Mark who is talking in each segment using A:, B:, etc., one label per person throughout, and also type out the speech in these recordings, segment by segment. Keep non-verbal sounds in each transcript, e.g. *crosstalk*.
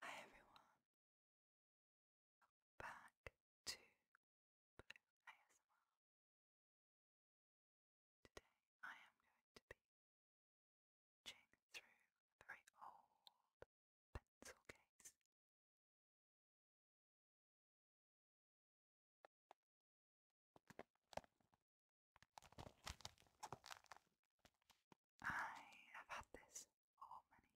A: Hi everyone. back to Blue ASMR. Today I am going to be reaching through a very old pencil case. I have had this for many.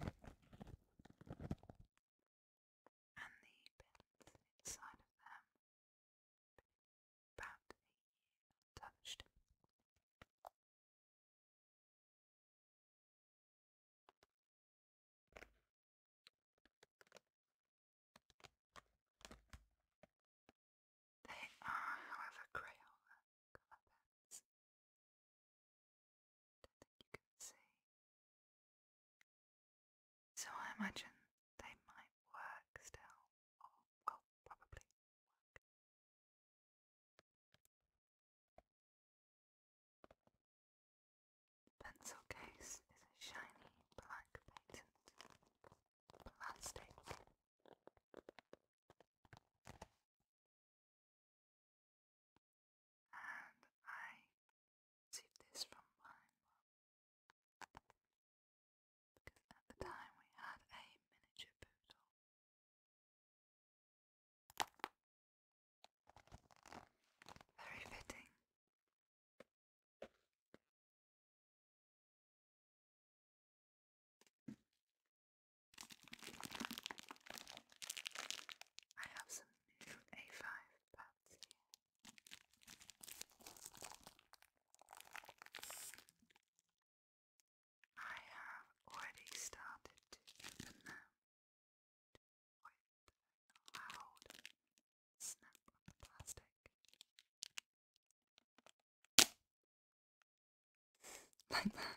A: And the pins inside of them about a year they are, however, Crayola colour pens. Don't think you can see. So I imagine they might work still, or well, probably work. The pencil case is a shiny black patent plastic. And I received this from my mum. Because at the time we had a miniature poodle. Very fitting I have some new A5 pads here. I have already started to open them with a loud snap of plastic. *laughs* like that.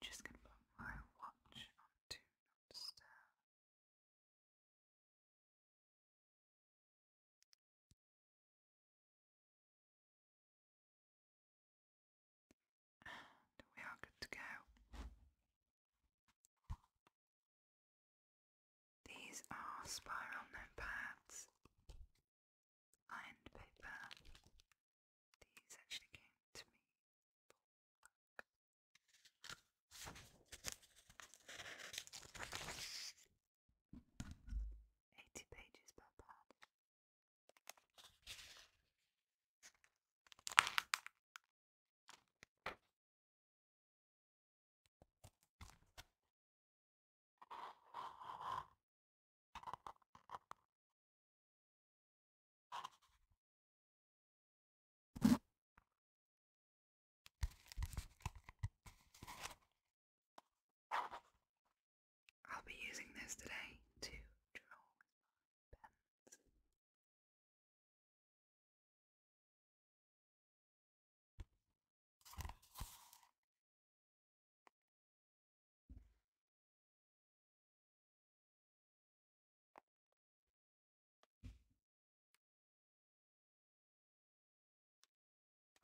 A: Just gonna put my watch on do not disturb we are good to go. These are spiral notepads, lined paper. These actually came to me. 80 pages per pad. I'll be using this today to draw with pens.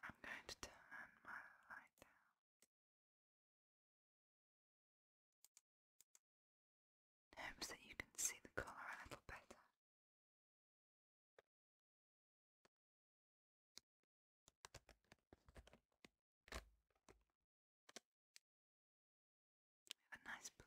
A: I'm going to turn my light down. hopes that you can see the colour a little better. We have a nice blue.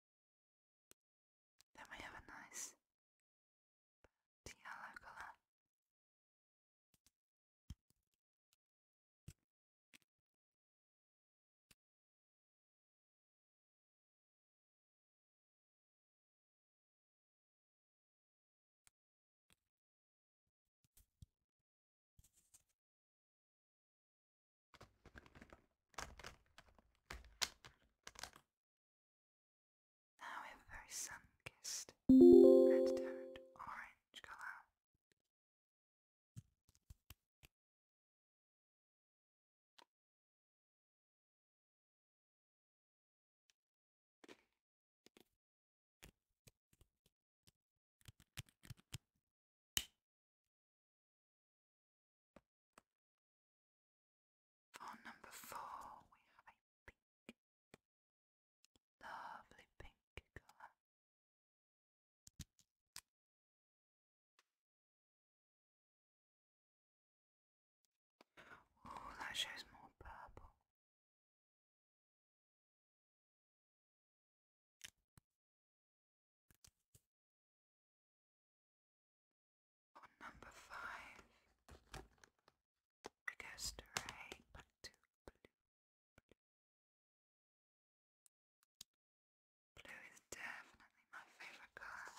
A: Then we have a nice yellow colour. Now if very sun-kissed had turned orange colour. For oh, number four, we have a lovely pink colour. Oh, that shows more purple. On number five, goes to ray, but to Blue, blue is definitely my favorite color.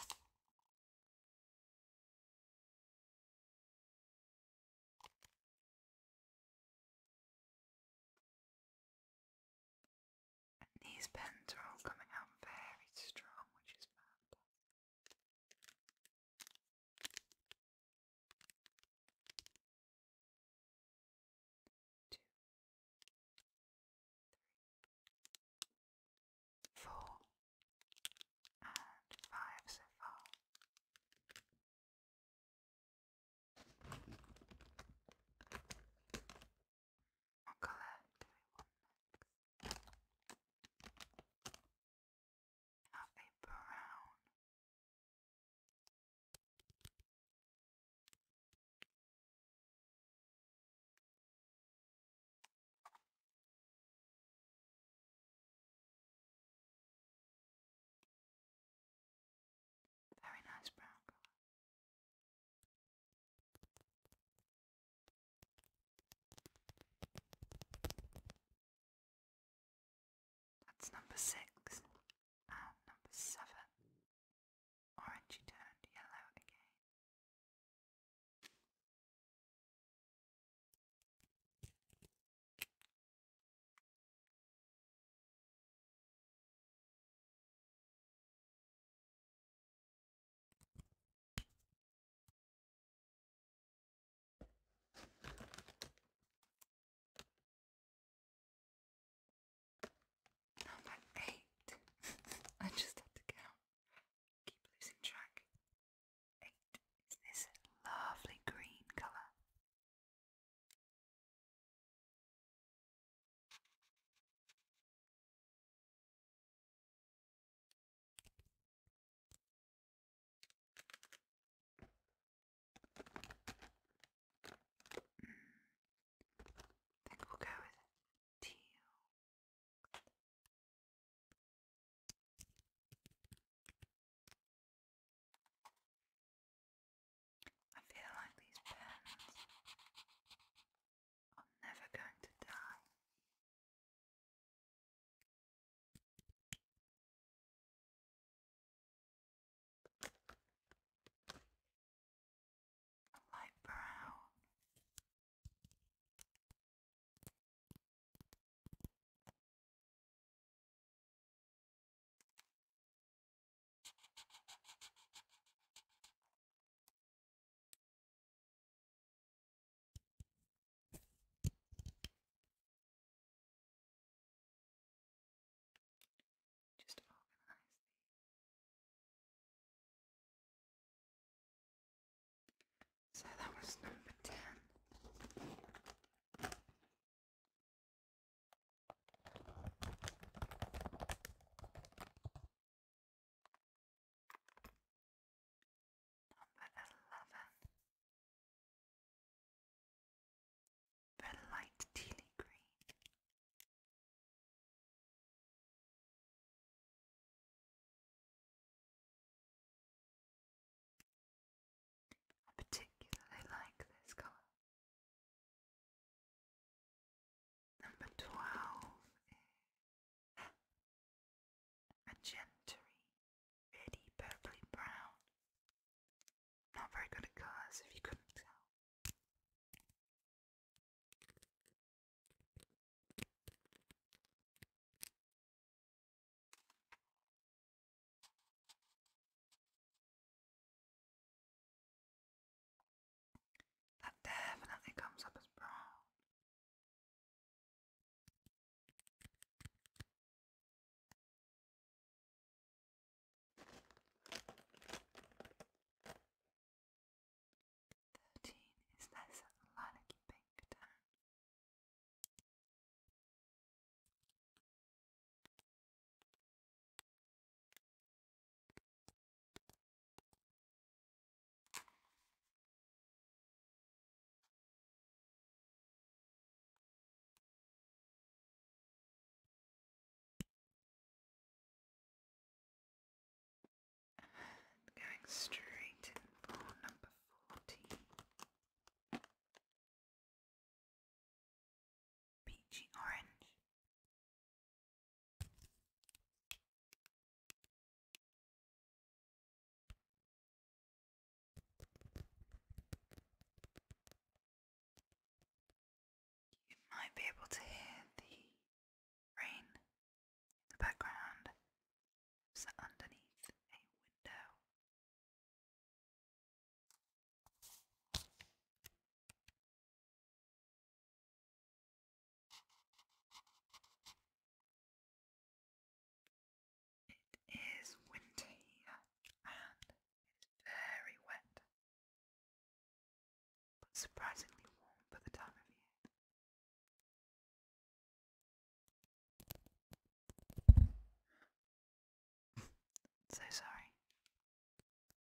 A: And these pens are all coming out very strong, which is fantastic. Two, three, four, and five so far. What colour do we want next? We have a brown. Very nice brown colour. That's number six and number seven. Orangey turned yellow again. Number oh, eight. *laughs* I just had to count. Keep losing track. Eight is this lovely green colour. I think we'll go with teal. I feel like these pens I'm never going to die. light brown. Just organize So that was number ten. Number eleven. The light teeny green. I particularly like this color. Number twelve is magenta, really purpley brown. Not very good at colours, if you couldn't tell. That definitely comes up as brown. Thirteen is this lilac pink down. Going straight in for number fourteen. Peachy orange. You might be able to hear the rain in the background. It's underneath a window. It is winter and very wet, but surprisingly warm for the time of year. *laughs* so sorry.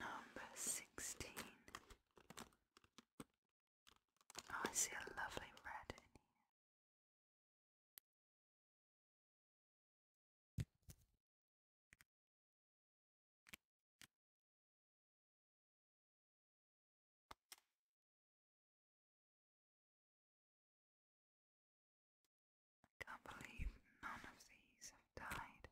A: Number sixteen. Oh, I see a lovely red in here. I can't believe none of these have died.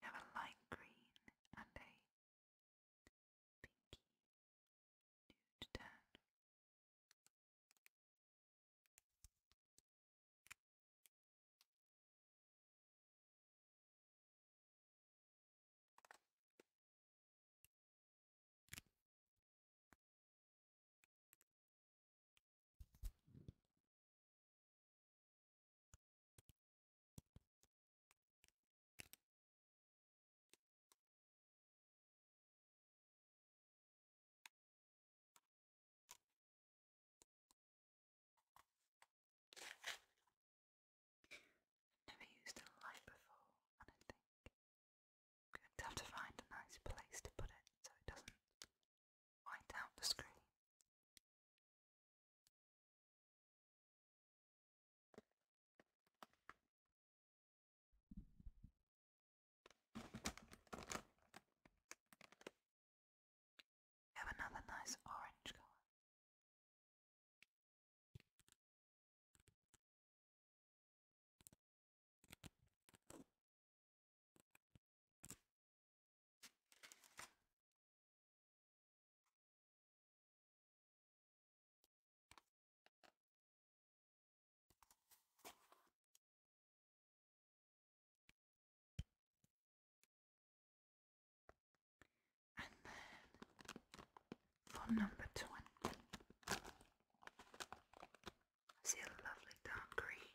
A: You have a light green and a pinky nude tan. Never used a light before, and I think I'm going to have to find a nice place to put it so it doesn't wind down the screen. have another nice orange color. And then for number twenty, I see a lovely dark green.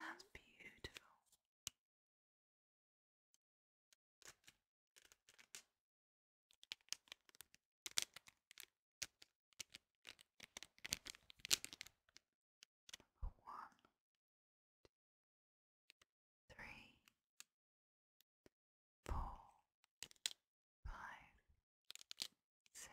A: That's beautiful. one, three, four, five, six,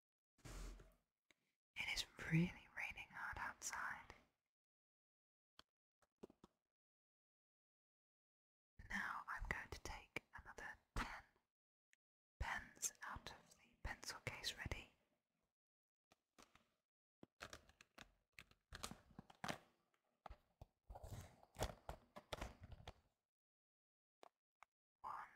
A: It is really raining hard outside. Now I'm going to take another ten pens out of the pencil case ready. One,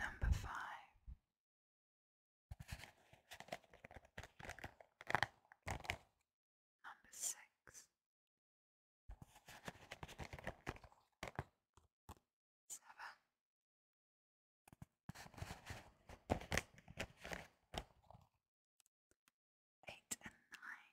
A: Number five, number six, seven, eight, and nine.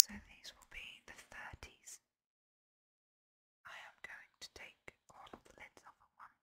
A: So these will be the 30s. I am going to take all of the lids off at once.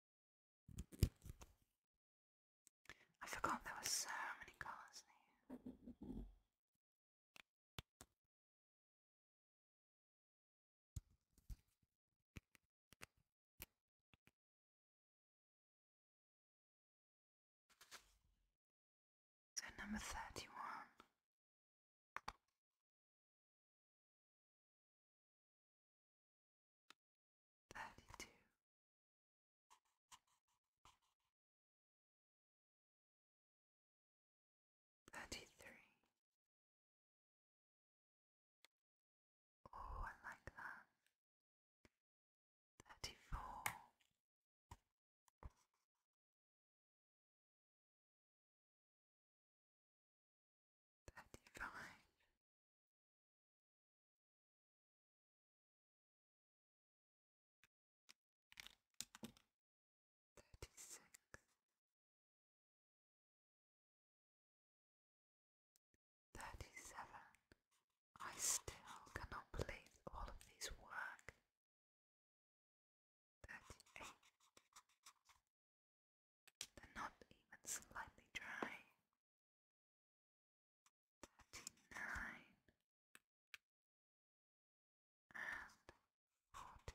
A: I forgot there were so many colours here. So number thirty one thirty-two. Thirty three. Oh, I like that. Thirty four. 36 37 I still cannot believe all of these work 38 They're not even slightly dry thirty-nine and forty.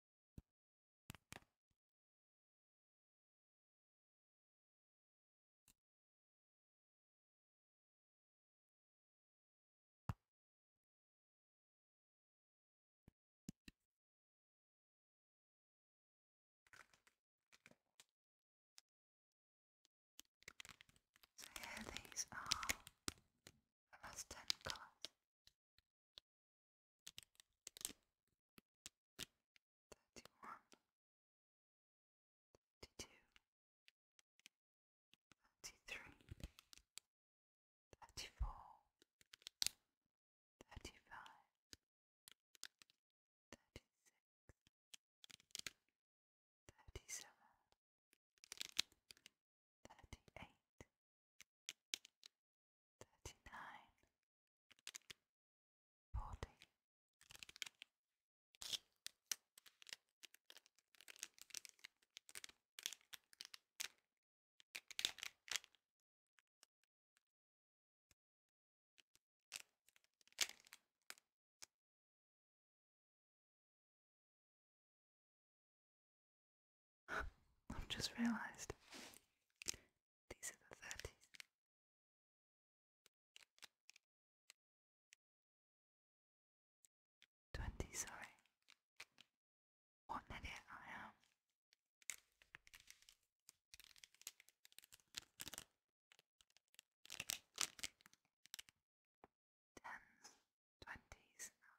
A: So here these are the last ten colours. Thirty-one, thirty-two, thirty-three, thirty-four, thirty-five, thirty-six, thirty-seven, thirty-eight thirty-nine, forty, *laughs* I've just realized these are the thirties. Twenty, sorry. What idiot I am. Tens, twenties, and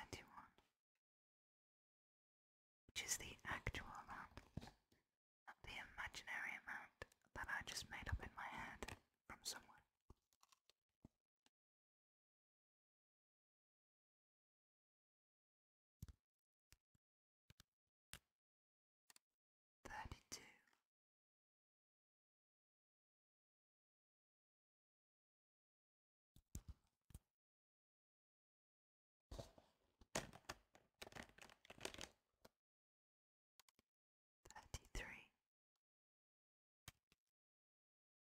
A: Thirty one, which is the actual amount, not the imaginary amount that I just made up in my head from someone thirty two. Thirty three,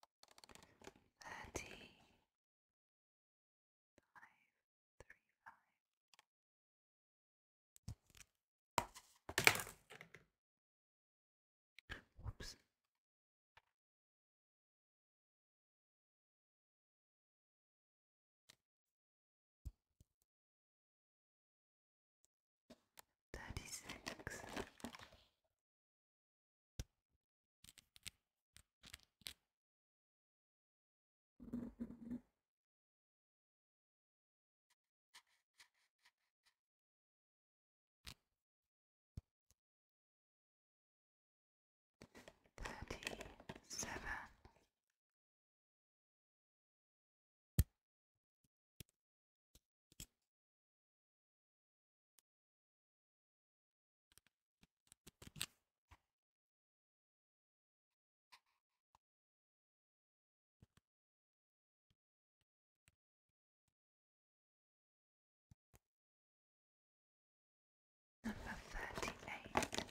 A: thirty five three five. Whoops. Thirty six Thirty-seven. Number thirty eight.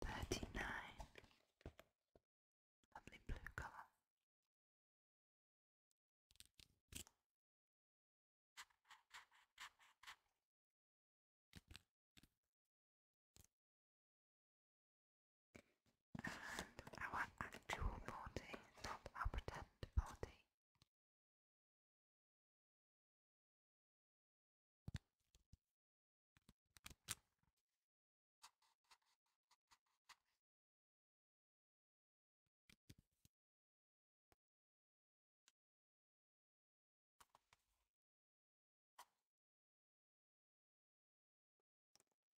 A: Thirty-nine, lovely blue colour. And our actual body, not pretend body,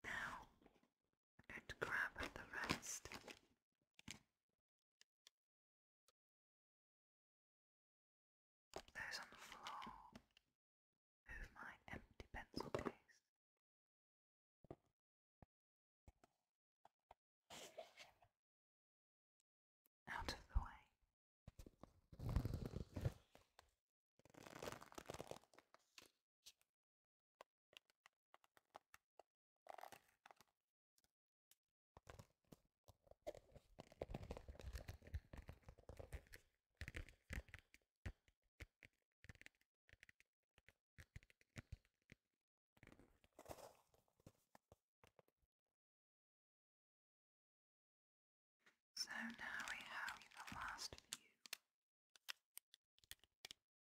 A: now, and grab the rest. Those on the floor move my empty pencil case. Out of the way. So now we have the last view.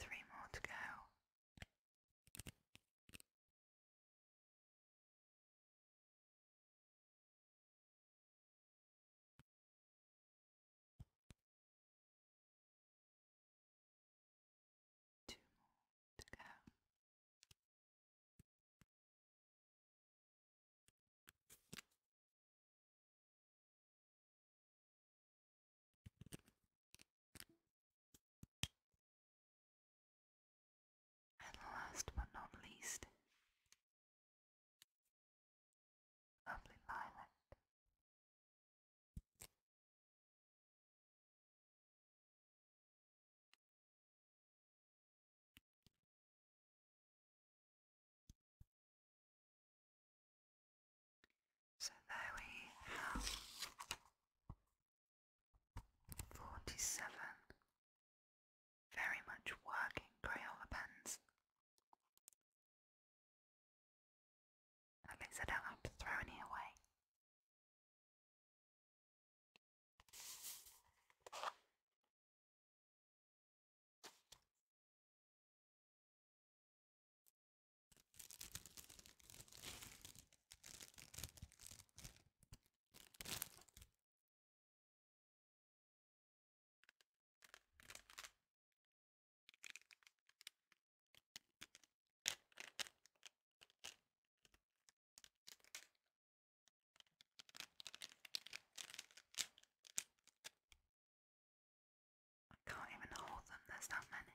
A: Three more to go. Two more to go. And last but not least, lovely lilac. So there we have Forty-seven. Very much working Crayola pens. At least I don't have to throw any away. I can't even hold them, there's that many.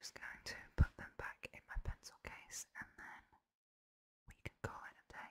A: Just going to put them back in my pencil case and then we can call it a day.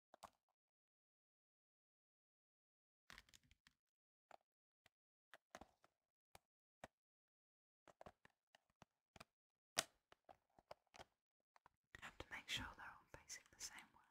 A: I have to make sure they're all facing the same way.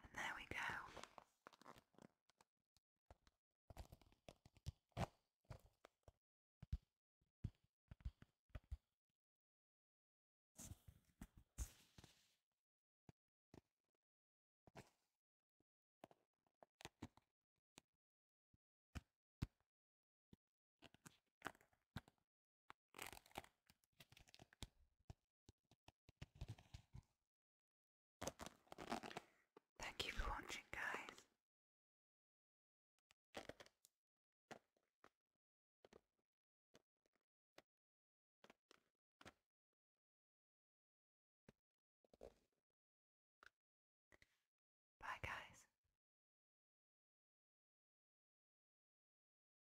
A: And there we go. Thank you for watching, guys. Bye, guys.